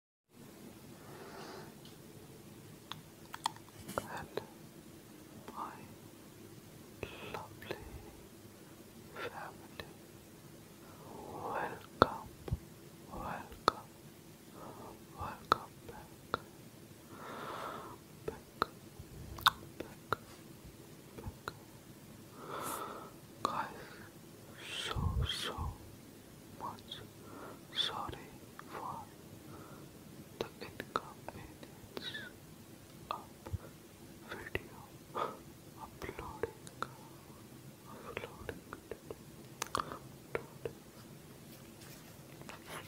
my lovely family, welcome, welcome, welcome back, back, back, back, guys. So so much sorry for the inconvenience of video uploading uploading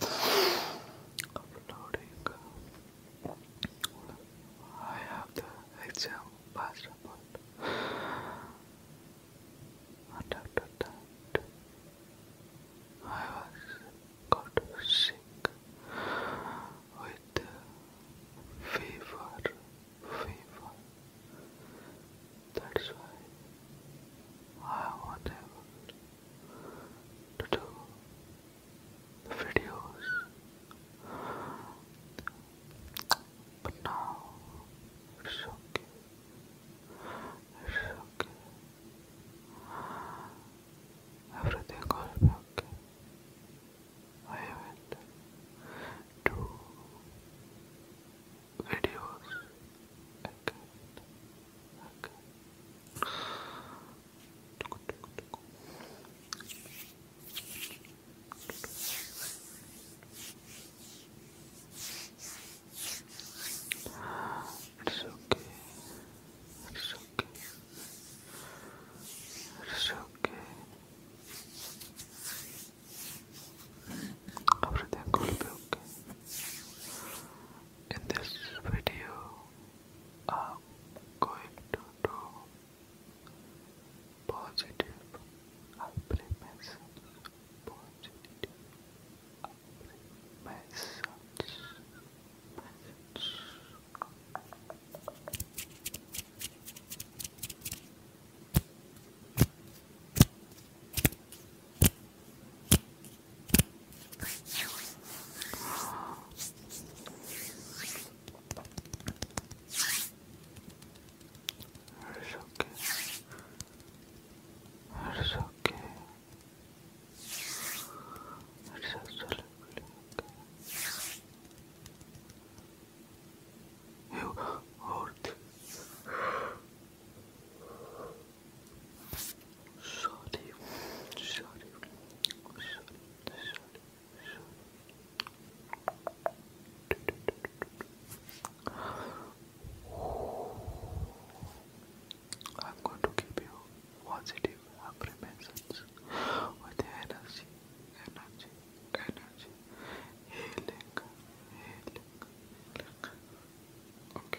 uploading I have the exam passed and after I was got sick with fever, fever. That's why I was to do videos. But no, it's okay. It's okay. Everything will be I haven't videos again. again. It's okay. It's okay. It's okay. Everything will be okay. In this video, I'm going to positive affirmations positive affirmations message it's okay. It's okay. It's absolutely okay. You worthy. Sorry. Sorry. Sorry. Sorry. Sorry. I'm going to keep you positive affirmations with energy, energy, energy, healing, healing, healing. Okay.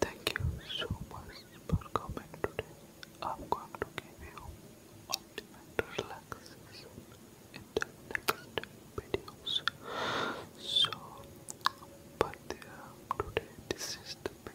Thank you so much for coming today. I'm going to give you ultimate relaxation in the next videos. So, but uh, today this is the